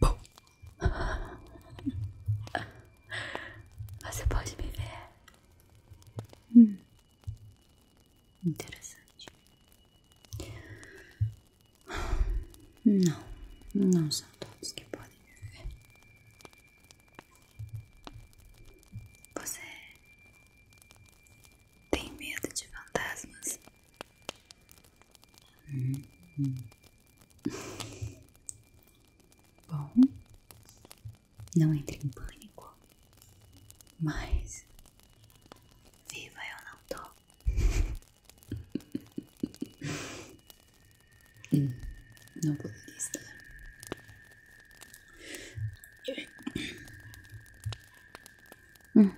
Bom, você pode me ver? Hum. Interessante. Não, não são todos que podem me ver. Você tem medo de fantasmas? Uhum. Bom, não entre em pânico, mas viva eu não tô. Hum, não poderia estar. Hum.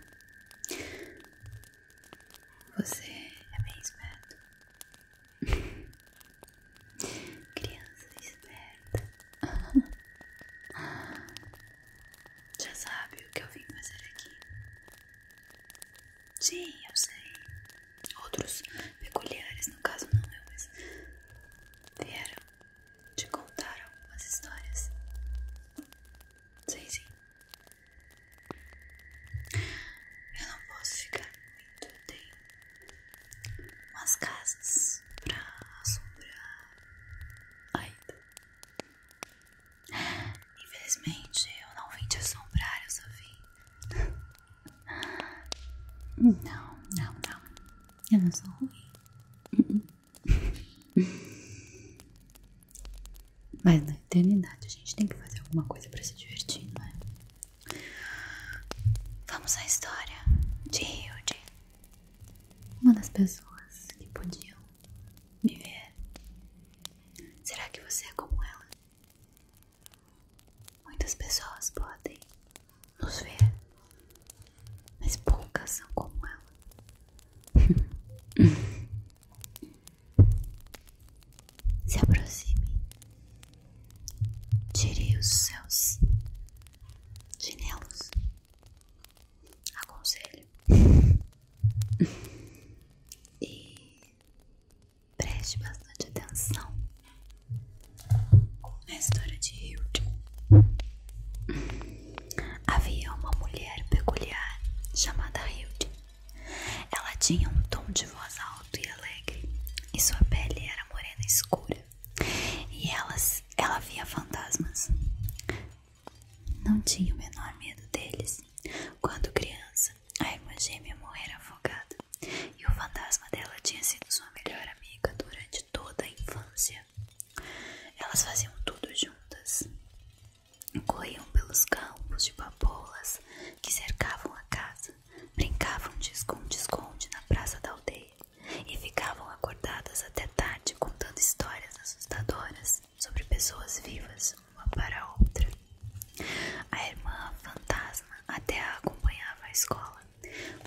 Você é bem esperto. Criança esperta. Já sabe o que eu vim fazer aqui? Sim, eu sei. Outros peculiares, no caso não eu, né, mas vieram te contaram algumas histórias? Sei se Eu não posso ficar muito. tempo, tenho umas casas pra assombrar ainda. Infelizmente, eu não vim te assombrar, eu só vim. Não, não, não. Eu não sou ruim. Mas na eternidade a gente tem que fazer alguma coisa para se divertir, não é? Vamos à história de Hilde, uma das pessoas que podiam me ver. Será que você é como ela? Muitas pessoas podem nos ver, mas poucas são como ela. Se aproxime, tire os seus chinelos. Aconselho. E preste bastante atenção na história de Hilton. Havia uma mulher peculiar chamada Hilde. Ela tinha um tom de voz alto e alegre, e sua pele era morena escura. E elas, ela via fantasmas. Não tinha o menor medo deles. Quando criança, a irmã gêmea morrera afogada, e o fantasma dela tinha sido sua melhor amiga durante toda a infância. Elas faziam tudo juntas. Corriam pelos campos de papoulas que cercavam a casa, brincavam de esconde-esconde na praça da aldeia e ficavam acordadas até tarde contando histórias assustadoras sobre pessoas vivas uma para a outra. A irmã fantasma até a acompanhava à escola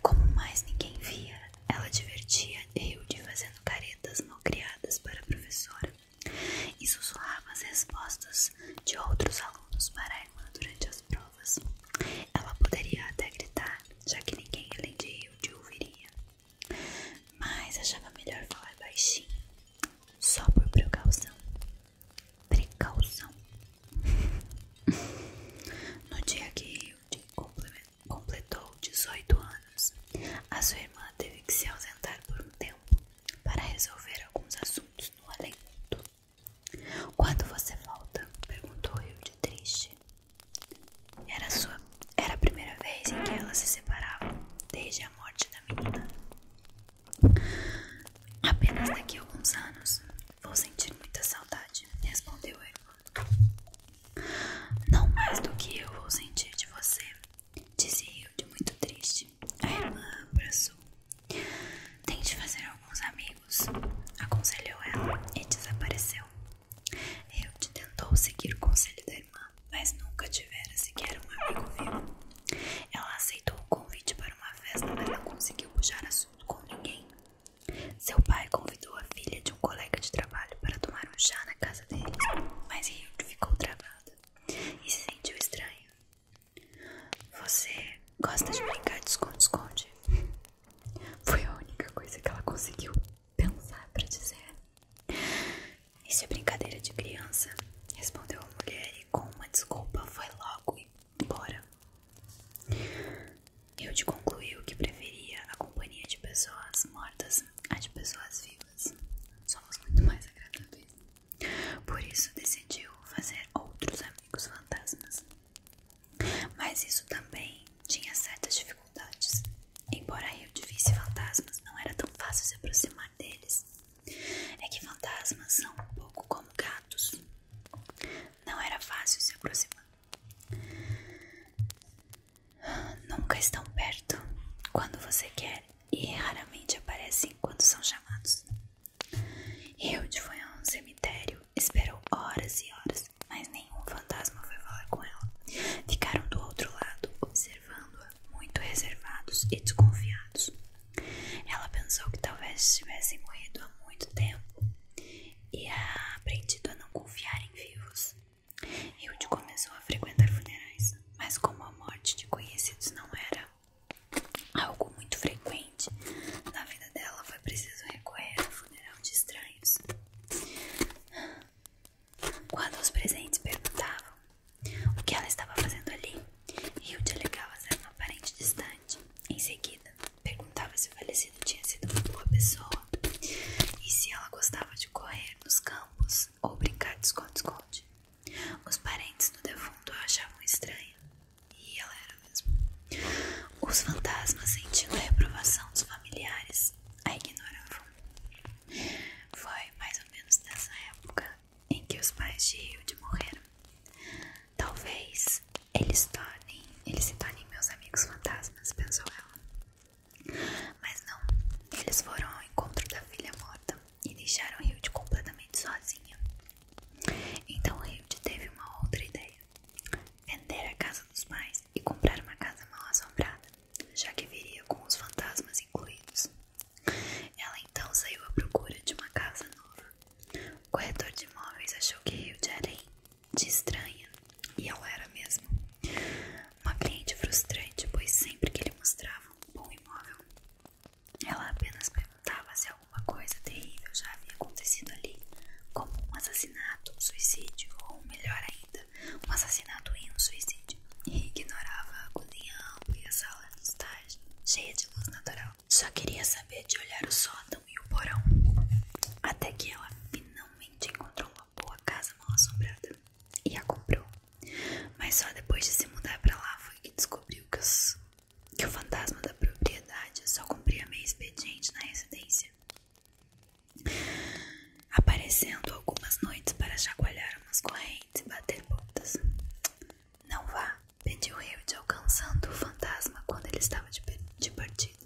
como mais ninguém via, ela divertia Hilde fazendo caretas malcriadas para a professora e sussurrava as respostas de outros alunos para a durante as provas. Ela poderia até gritar, já que ninguém além de Hilde ouviria. Mas achava melhor falar baixinho, só por precaução. Precaução. no dia que Hilde completou 18 anos. A sua irmã teve que se ausentar por um tempo para resolver alguns assuntos no além mundo. Quando você volta? perguntou Hilde triste. Era, sua, era a primeira vez em que elas se separavam desde a morte da menina. Apenas daqui a alguns anos vou sentir muita saudade, respondeu a irmã. Não mais do que eu vou sentir de você, disse Hilde muito triste. A irmã abraçou. Tente fazer alguns amigos, aconselhou ela e desapareceu. Hilde tentou seguir o conselho da irmã, mas nunca tivera sequer um amigo vivo. Ela aceitou o convite para uma festa, mas não conseguiu puxar assunto com ninguém. Seu pai convidou a filha de um colega de trabalho para tomar um chá na casa deles, mas ele ficou travado e se sentiu estranho. Você gosta de brincar de esconde-esconde? Foi a única coisa que ela conseguiu pensar para dizer. Isso é brincadeira de criança, respondeu a mulher e com uma desculpa foi logo embora. Eu te concluiu que preferia a companhia de pessoas mortas a de pessoas vivas. Somos muito mais agradáveis. Por isso decidiu fazer outros amigos fantasmas. Mas isso também tinha certas dificuldades. Embora Hilde visse fantasmas, não era tão fácil se aproximar deles. É que fantasmas são um pouco como gatos. Não era fácil se aproximar nunca estão perto quando você quer e raramente aparecem quando são chamados. Hilde foi a um cemitério, esperou horas e horas, mas nenhum fantasma foi falar com ela. Ficaram do outro lado, observando-a, muito reservados e desconfiados. Ela pensou que talvez tivessem morrido há muito tempo e aprendido a não confiar em vivos. Hilde começou a frequentar funerais, mas como a morte de conhecidos não era algo muito frequente na vida dela, foi preciso recorrer ao funeral de estranhos. Quando os presentes perguntavam o que ela estava fazendo ali, Hilde alegava ser uma parente distante. Em seguida, perguntava se o falecido tinha sido uma boa pessoa e se ela gostava de correr nos campos ou brincar de esconde-esconde. Os parentes do defunto a achavam estranha. E ela era mesmo. Os fantasmas, sentindo a reprovação dos familiares, a ignoravam. Foi mais ou menos nessa época em que os pais de Hilde morreram. Talvez eles, tornem, eles se tornem meus amigos fantasmas, pensou ela. Mas não, eles foram ao encontro da filha morta e deixaram Hilde completamente sozinha. Então Hilde teve uma outra ideia: vender a casa dos pais e comprar uma casa mal assombrada, já que viria com os fantasmas incluídos. Ela então saiu à procura de uma casa nova. O corretor de imóveis achou que Hilde era de estranha, e ela era mesmo. Uma cliente frustrante, pois sempre que ele mostrava um bom imóvel, ela apenas perguntava se alguma coisa terrível já havia acontecido ali, como um assassinato, um suicídio, ou melhor ainda, um assassinato e um suicídio, e ignorava a cozinha ampla e a sala de estágio, cheia de luz natural. Só queria saber de olhar o sótão e o porão, até que ela finalmente finalmente encontrou uma boa casa mal assombrada e a comprou. Mas só depois de se mudar para lá foi que descobriu que, o fantasma da propriedade só cumpria meio expediente na residência, aparecendo algumas noites para chacoalhar umas correntes e bater botas. Não vá, pediu Hilde, alcançando o fantasma quando ele estava de partida.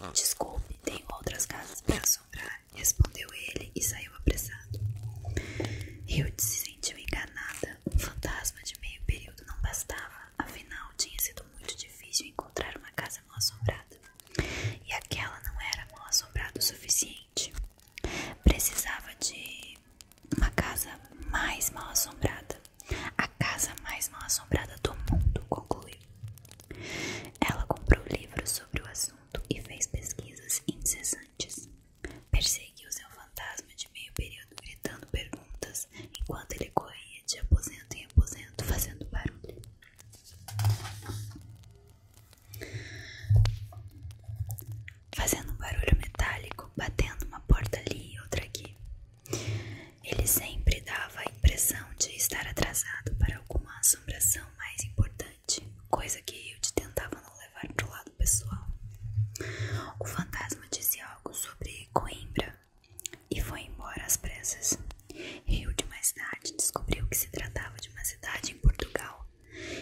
Ah. Desculpe, tem outras casas para assombrar, respondeu ele e saiu apressado. Eu se sentiu enganada. Um fantasma de meio período não bastava, afinal tinha sido muito difícil encontrar uma casa mal assombrada. E aquela não era mal assombrada o suficiente. Precisava de uma casa mais mal assombrada. A casa mais mal assombrada do mundo, concluiu. Ela comprou livros sobre o assunto e fez pesquisas incessantes. Perseguiu seu fantasma de meio período gritando perguntas enquanto ele corria de aposento em aposento fazendo barulho. Fazendo um barulho metálico, batendo uma porta ali e outra aqui. Ele sempre dava a impressão de estar atrasado para alguma assombração mais importante, coisa que eu tentava não levar para o lado pessoal. O fantasma disse algo sobre Coimbra e foi embora às pressas. Hilde mais tarde descobriu que se tratava de uma cidade em Portugal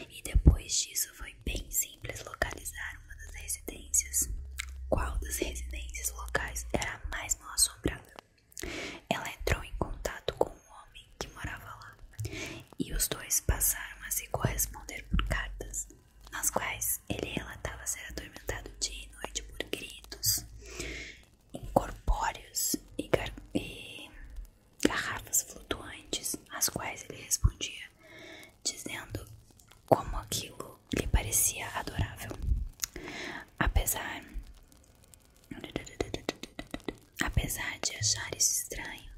e depois disso foi bem simples localizar uma das residências. Qual das residências locais era a mais mal assombrada? Ela entrou em contato com um homem que morava lá e os dois passaram a se corresponder por cartas, nas quais ele relatava ser atormentado dia e noite por gritos incorpóreos e garrafas flutuantes, às quais ele respondia, dizendo como aquilo lhe parecia adorável. Apesar Apesar de achar isso estranho,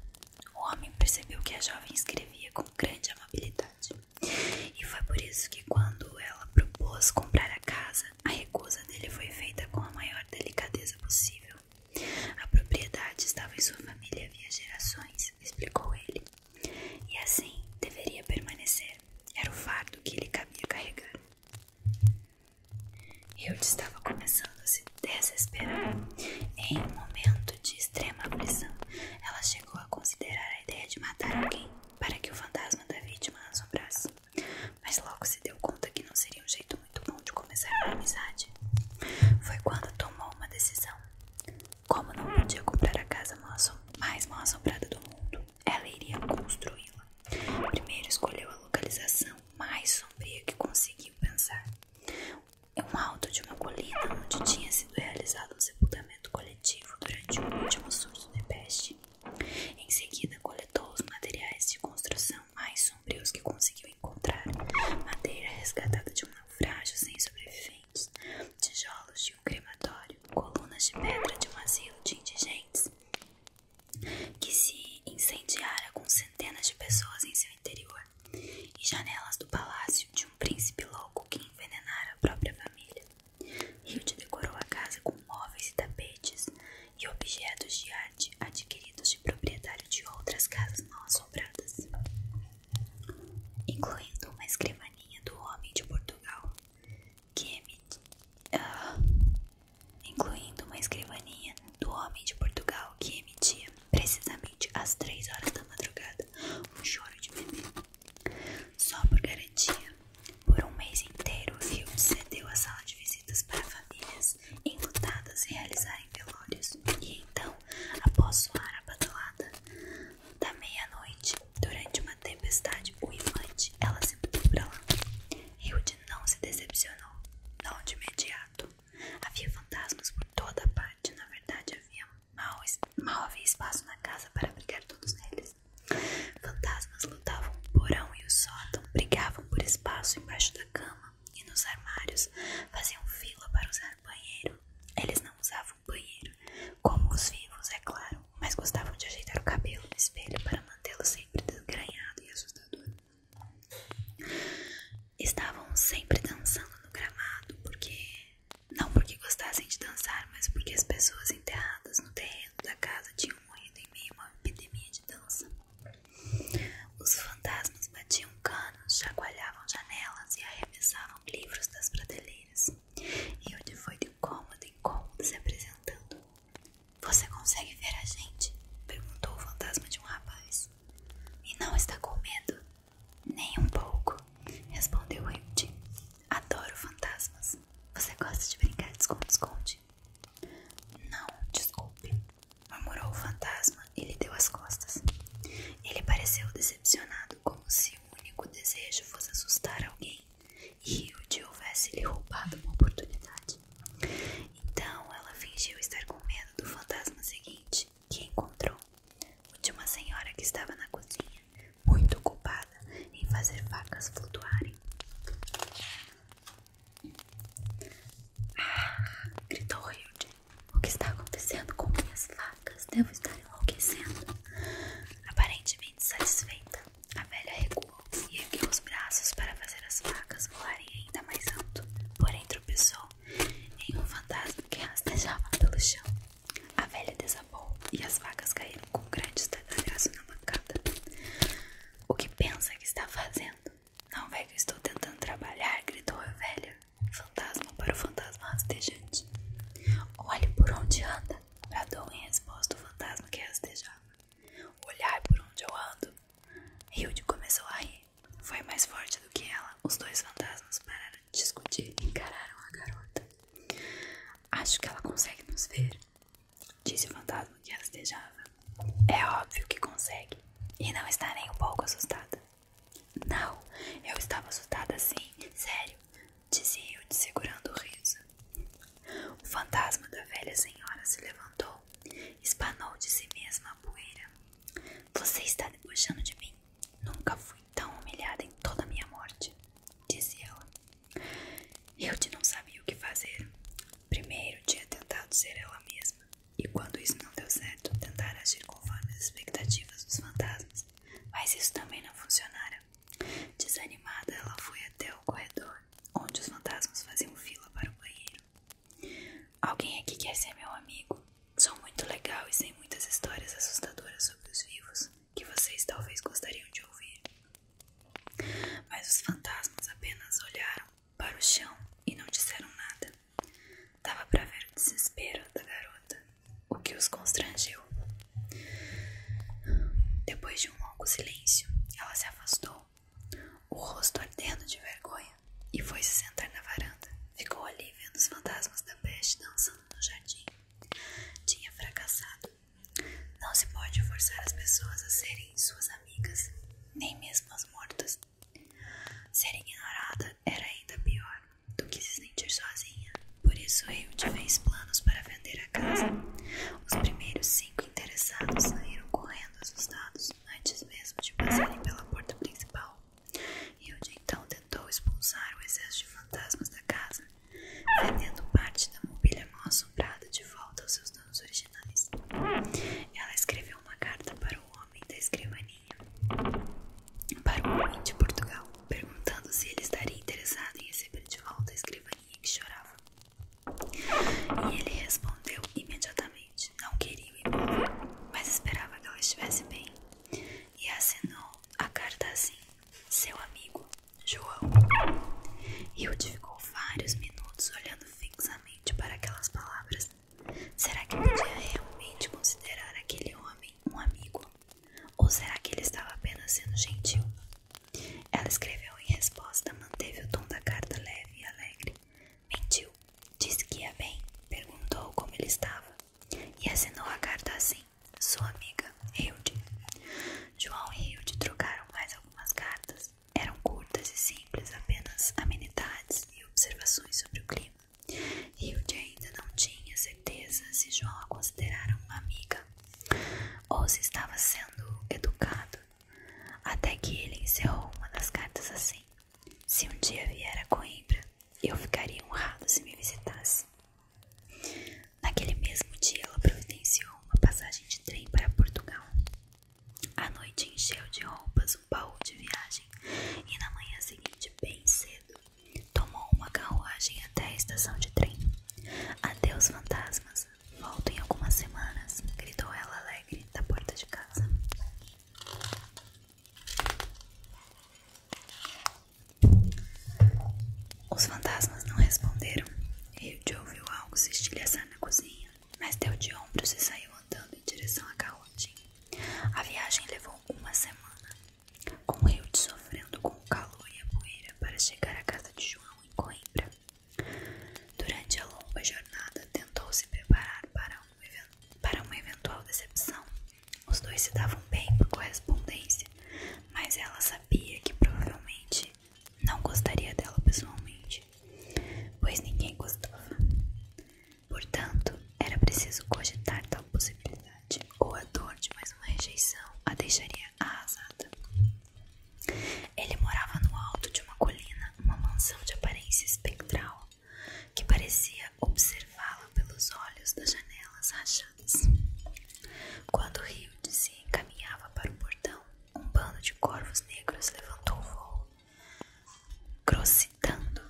o homem percebeu que a jovem escrevia com grande amabilidade. E foi por isso que, quando ela propôs comprar a casa, a recusa dele foi feita com a maior delicadeza possível. A propriedade estava em sua família há gerações, explicou ele. E assim deveria permanecer. Era o fardo que ele cabia carregar. Eu estava começando a se desesperar. Em um momento de extrema aflição, ela chegou a considerar a ideia de matar alguém para que o fantasma da vítima assombrasse. Mas logo se deu conta que não seria um jeito muito bom de começar uma amizade. Foi quando tomou uma decisão. Como não podia comprar a casa mais mal assombrada do mundo, ela iria construí-la. Primeiro escolheu a localização mais sombria que conseguiu pensar. Um alto de uma colina onde tinha sido realizado um sepultamento coletivo durante o último surto de peste. Em seguida, coletou os materiais de construção mais sombrios que conseguiu encontrar: madeira resgatada de um naufrágio sem sobreviventes, tijolos de um crematório, colunas de pedra de um asilo de indigentes, que se incendiara com centenas de pessoas em seu interior, e janelas do palácio de um príncipe louco que envenenara a própria família. Hilde decorou a casa com móveis e tapetes e objetos de arte adquiridos de proprietário de outras casas mal assombradas, incluindo uma escrivaninha do homem de Portugal, é ah, incluindo uma escrivaninha do homem de Portugal que emitia precisamente às três horas da madrugada um choro de bebê. Só por garantia, por um mês inteiro o filme cedeu a sala de visitas para famílias enlutadas realizarem velórios e então, após soar a badalada da meia-noite, Durante uma tempestade uimante, ela se mudou para lá. Hilde não se decepcionou, não de imediato. Havia fantasmas por toda parte, na verdade havia mal, havia espaço na casa para abrigar todos eles. Fantasmas lutavam o porão e o sótão, brigavam por espaço embaixo da cama e nos armários, faziam fila para usar o banheiro. Eles não usavam banheiro, como os vivos, é claro mas gostavam de ajeitar o cabelo no espelho para mantê-lo sempre desgrenhado e assustador. Estavam sempre dançando no gramado, porque não porque gostassem de dançar, mas porque as pessoas enterradas no terreno da casa tinham morrido em meio a uma epidemia de dança. Os fantasmas batiam canos, chacoalhavam janelas e arremessavam livros das prateleiras. E onde foi de cômodo em cômodo se apresentando, você consegue ver a gente? Perguntou o fantasma de um rapaz. E não está com medo? Nem um pouco, respondeu o Hilde. Adoro fantasmas. Você gosta de brincar de esconde-esconde? Não, desculpe, murmurou o fantasma e lhe deu as costas. Ele pareceu decepcionado, como se o único desejo fosse assustar alguém e o houvesse lhe roubado uma oportunidade. Então ela fingiu estar com medo do fantasma seguinte, que encontrou o de uma senhora que estava na cozinha, muito ocupada em fazer facas flutuarem. Ah, gritou Hilde. O que está acontecendo com minhas facas? Devo estar enlouquecendo. Aparentemente satisfeita, a velha recuou e ergueu os braços para fazer as facas voarem ainda mais alto, porém tropeçou em um fantasma que rastejava pelo chão. A velha desabou e as facas caíram com grandes grande na bancada. O que pensa que está fazendo? Não vê eu estou tentando trabalhar, gritou a velha. Fantasma para o fantasma rastejante. Olhe por onde anda, bradou em resposta o fantasma que rastejava. Olhar por onde eu ando. Hilde começou a rir. Foi mais forte do que ela. Os dois fantasmas pararam de discutir e encararam a garota. Acho que ela consegue nos ver, disse o fantasma que ela desejava. É óbvio que consegue. E não está nem um pouco assustada. Não, eu estava assustada sim, sério dizia eu, segurando o riso. O fantasma da velha senhora se levantou, espanou de si mesma a poeira. Você está debochando de mim. Nunca fui tão humilhada em toda a minha morte, disse ela. Eu te não sabia o que fazer. Primeiro tinha tentado ser ela mesma, e quando isso não deu certo, tentara agir conforme as expectativas dos fantasmas, mas isso também não funcionara. Desanimada, ela foi até o corredor, onde os fantasmas faziam fila para o banheiro. Alguém aqui quer ser meu amigo? Sou muito legal e sei muitas histórias assustadoras sobre os vivos que vocês talvez gostariam de ouvir. Mas os fantasmas apenas olharam para o chão e não disseram nada. Dava para ver o desespero da garota, o que os constrangiu. Depois de um longo silêncio, ela se afastou, o rosto ardendo de vergonha, e foi se sentar na varanda. Ficou ali vendo os fantasmas da peste dançando no jardim. Tinha fracassado. Não se pode forçar as pessoas a serem suas amigas, nem mesmo as mortas. Ser ignorada era ainda pior do que se sentir sozinha. Por isso, Hilde fez planos para vender a casa. Os primeiros cinco interessados saíram correndo assustados antes mesmo de passarem pela porta principal. Hilde então tentou expulsar o excesso de fantasmas da casa, vendendo parte da mobília mal assombrada de volta aos seus donos originais. Ela escreveu uma carta para o homem da escrivaninha, para o homem de Portugal, perguntando se ele estaria interessado em receber de volta a escrivaninha que chorava. E ele respondeu imediatamente: não queria ir embora, mas esperava que ela estivesse bem. E assinou a carta assim: seu amigo, João. Hilde ficou vários minutos olhando fixamente para aquelas palavras. Será que podia realmente considerar aquele homem um amigo? Ou será que ele estava apenas sendo gentil? Ela escreveu em resposta, manteve o tom da carta leve e alegre. Mentiu. Disse que ia bem, perguntou como ele estava e assinou a carta assim: Sua amiga, Hilde. João e Hilde trocaram mais algumas cartas. Eram curtas e simples, apenas amenidades e observações sobre o clima. Hilde ainda não tinha certeza se João a considerara uma amiga ou se estava sendo educado, até que ele encerrou uma das cartas assim: Se um dia vier a Coimbra, eu ficaria honrado se me visitasse. Naquele mesmo dia, ela providenciou uma passagem de trem para Portugal. À noite, encheu de roupas um baú de viagem e, na manhã seguinte, bem cedo, tomou uma carruagem até a estação de trem. Adeus, fantasmas! Volto em algumas semanas, gritou ela alegre da porta de casa. Os fantasmas não responderam. Hilde ouviu algo se estilhaçar na cozinha, mas deu de ombros e saiu andando em direção à Carlotinha. A viagem levou uma semana, com Hilde sofrendo com o calor e a poeira para chegar à casa de João em Coimbra. Durante a longa jornada, tentou se preparar para, para uma eventual decepção. Os dois se davam bem por correspondência, mas ela sabia que provavelmente não gostaria dela pessoalmente, pois ninguém gostava. Portanto, era preciso cogitar tal possibilidade, ou a dor de mais uma rejeição a deixaria arrasada. Ah, Ele morava no alto de uma colina, uma mansão de aparência espectral que parecia observá-la pelos olhos das janelas rachadas. Quando o rio se encaminhava para o portão, um bando de corvos negros levantou o voo, grossidando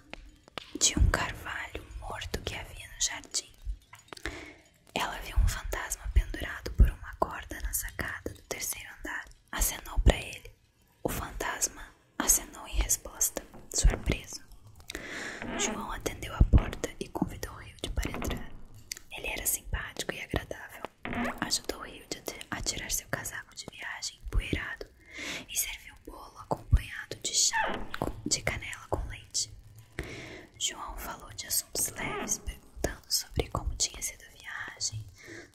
de um carvalho morto que havia no jardim. Ela viu um fantasma pendurado por uma corda na sacada do terceiro andar. Acenou para ele. O fantasma acenou em resposta, surpreso. João atendeu a porta e convidou Rio de para entrar. Ele era simpático e agradável. Ajudou Rio de a tirar seu casaco de viagem empoeirado e serviu bolo acompanhado de chá de canela com leite. João falou de assuntos leves, perguntando sobre como tinha sido a viagem,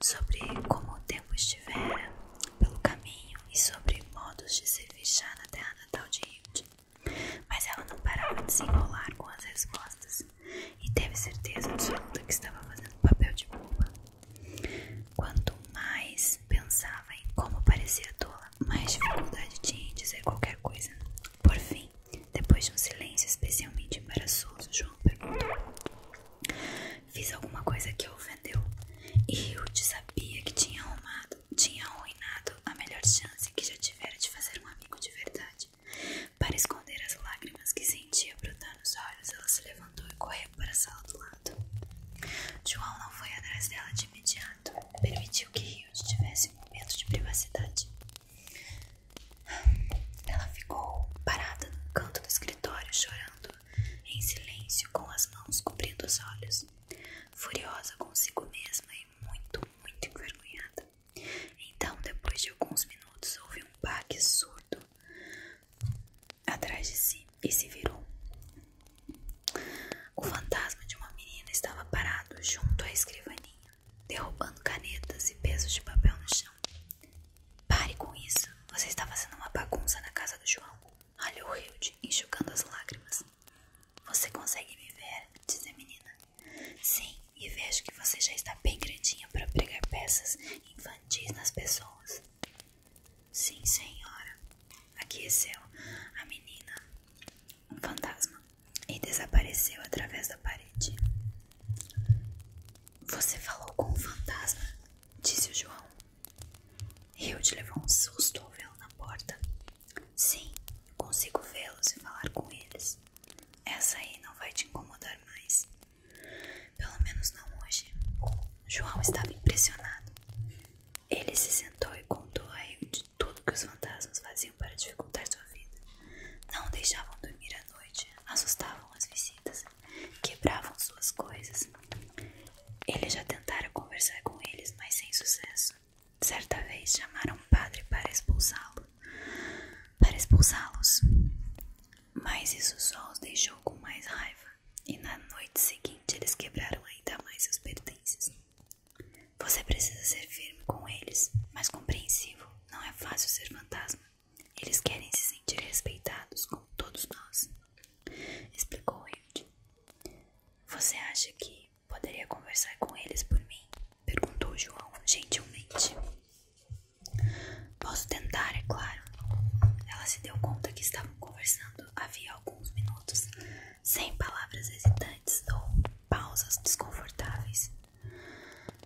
sobre como o tempo estivera pelo caminho e sobre modos de se chá na terra natal de Hilde. Mas ela não parava de se enrolar com as respostas e teve certeza absoluta que estava fazendo papel de boba. Quanto mais pensava em como parecia tola, mais dificuldade tinha em dizer qualquer coisa. Por fim, depois de um silêncio especialmente embaraçoso, João perguntou. Fiz alguma coisa que ofendeu. E Ruth sabia que tinha arrumado, tinha arruinado a melhor chance que já tivera de fazer um amigo de verdade. Para esconder as lágrimas que sentia brotar nos olhos, ela se levantou e correu para a sala do lado. João não foi atrás dela de imediato. Permitiu que Hilde tivesse um momento de privacidade. Ela ficou parada no canto do escritório, chorando, em silêncio, com as mãos cobrindo os olhos, furiosa consigo mesma e muito, muito envergonhada. Então, depois de alguns minutos, houve um baque surdo atrás de si e se virou. O fantasma de uma menina estava parado junto à escrivaninha derrubando canetas e pesos de papel no chão. Pare com isso. Você está fazendo uma bagunça na casa do João. Olha o Hilde enxugando as lágrimas. Você consegue me ver? Diz a menina. Sim, e vejo que você já está bem grandinha para pregar peças infantis nas pessoas. Sim, senhora. Aqueceu a menina. Um fantasma e desapareceu através da parede. Você falou com um fantasma, disse o João. Hilde levou um susto ao vê-lo na porta. Sim, consigo vê-los e falar com eles. Essa aí não vai te incomodar mais. Pelo menos não hoje. João estava impressionado. Ele se sentou e contou a Hilde tudo que os fantasmas faziam para dificultar sua vida. Não o deixavam dormir à noite, assustavam as visitas, quebravam suas coisas. Ele já tentara conversar com eles, mas sem sucesso. Certa vez chamaram um padre para expulsá-lo, para expulsá-los. Mas isso só os deixou com mais raiva, e na noite seguinte eles quebraram ainda mais seus pertences. Você precisa ser firme com eles, mas compreensivo não é fácil ser fantasma. Eles querem se sentir respeitados como todos nós, explicou Hilde. Você acha que poderia conversar com eles por mim? perguntou João gentilmente. Posso tentar, é claro. Ela se deu conta que estavam conversando havia alguns minutos, sem palavras hesitantes ou pausas desconfortáveis.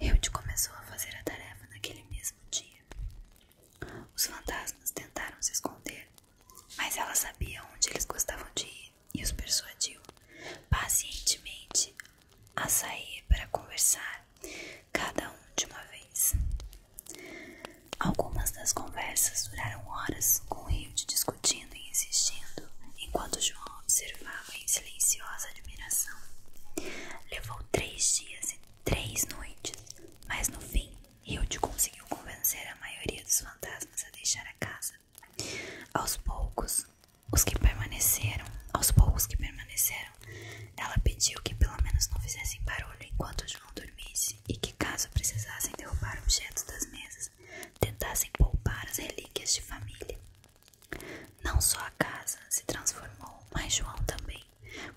Hilde começou a fazer a tarefa naquele mesmo dia. Os fantasmas tentaram se esconder, mas ela sabia onde eles gostavam de ir e os persuadiu pacientemente a sair para conversar, cada um de uma vez. Algumas das conversas duraram horas, com Hilde discutindo e insistindo, enquanto João observava em silenciosa admiração. Levou três dias e três noites, mas no fim Hilde conseguiu convencer a maioria dos fantasmas a deixar a casa. Aos poucos, os que permaneceram, aos poucos que permaneceram, ela pediu que pelo menos não fizessem barulho enquanto o João dormisse e que caso precisassem derrubar objetos das mesas, tentassem poupar as relíquias de família. Não só a casa se transformou, mas João também.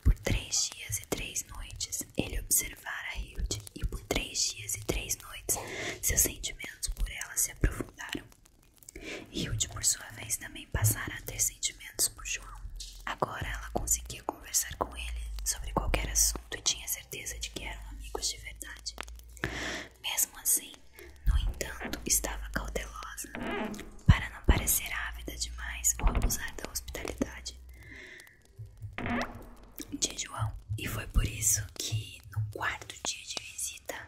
Por três dias e três noites ele observara Hilde, e por três dias e três noites seus sentimentos por ela se aprofundaram. Hilde, por sua vez, também passara a ter sentimentos por João. Agora ela conseguia conversar com ele sobre qualquer assunto e tinha certeza de que eram amigos de verdade. Mesmo assim, no entanto, estava cautelosa, para não parecer ávida demais ou abusar da hospitalidade de João. E foi por isso que, no quarto dia de visita,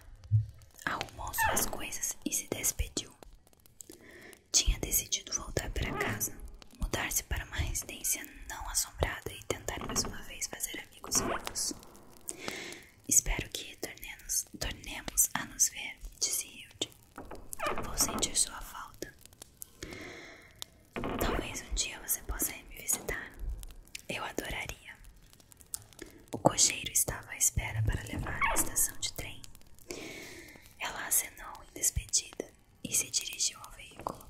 arrumou suas coisas e se despediu. Tinha decidido voltar para casa, mudar-se para uma residência não assombrada e tentar mais uma vez fazer amigos vivos. Espero que tornemos, a nos ver, disse Hilde. Vou sentir sua falta. Talvez um dia você possa me visitar. Eu adoraria. O cocheiro estava à espera para levar à estação de trem. Ela acenou em despedida e se dirigiu ao veículo.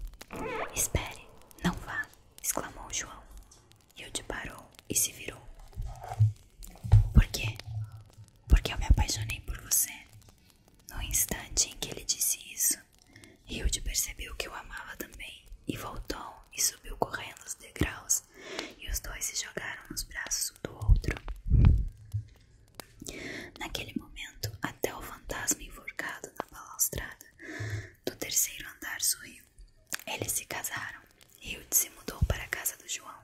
Espere, não vá! exclamou João. Hilde parou e se virou. Por quê? Porque eu me apaixonei por você. No instante em que ele disse isso, Hilde percebeu que eu amava também e voltou e subiu correndo os degraus e os dois se jogaram nos braços um do outro. Naquele momento, até o fantasma enforcado na balaustrada do terceiro andar sorriu. Eles se casaram e se mudou para a casa do João.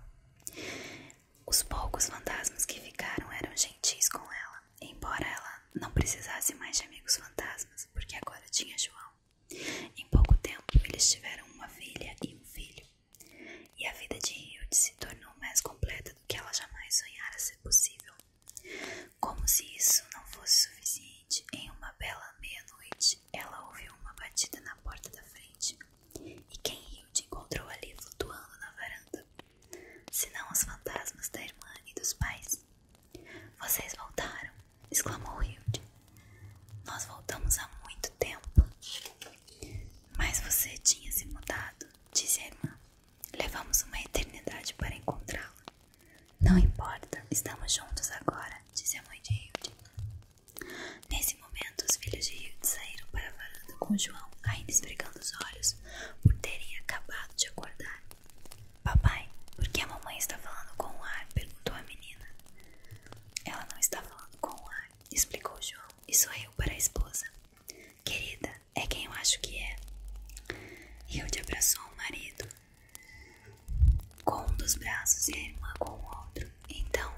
Os poucos fantasmas que ficaram eram gentis com ela, embora ela não precisasse mais de amigos fantasmas, porque agora tinha João. Em pouco tempo, eles tiveram uma filha e um filho, e a vida de Hilde se tornou mais completa do que ela jamais sonhara ser possível. Como se isso não fosse suficiente em uma bela meia-noite, ela ouviu uma batida na porta da frente e quem Hilde encontrou ali flutuando na varanda, senão os fantasmas da irmã e dos pais. Vocês voltaram, exclamou Hilde. Nós voltamos há muito tempo. Mas você tinha se mudado, disse a irmã. Levamos uma eternidade para encontrá lo Não importa, estamos juntos agora, disse a mãe de Hilde. Nesse momento, os filhos de Hilde saíram para a varanda com João, ainda esfregando os olhos por terem acabado de acordar. Papai, por que a mamãe está falando com o ar? perguntou a menina. Ela não está falando com o ar, explicou João e sorriu para a esposa. Querida, é quem eu acho que é. Hilde abraçou o marido com um dos braços e a irmã com o outro. Então,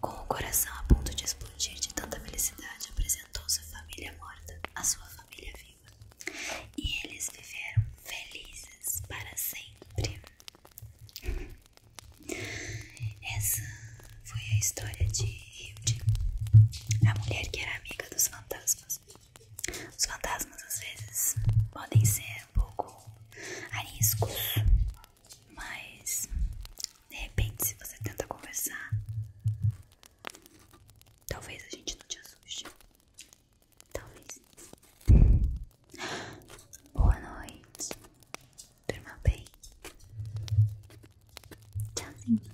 com o coração a ponto de explodir de tanta felicidade, apresentou sua família morta, a sua família viva. E eles viveram felizes para sempre. Essa foi a história de Hilde, a mulher que era amiga dos fantasmas. Os fantasmas às vezes podem ser um pouco ariscos, mas de repente, se você tenta conversar, talvez a gente não te assuste. Talvez. Boa noite. Durma bem. Tchauzinho.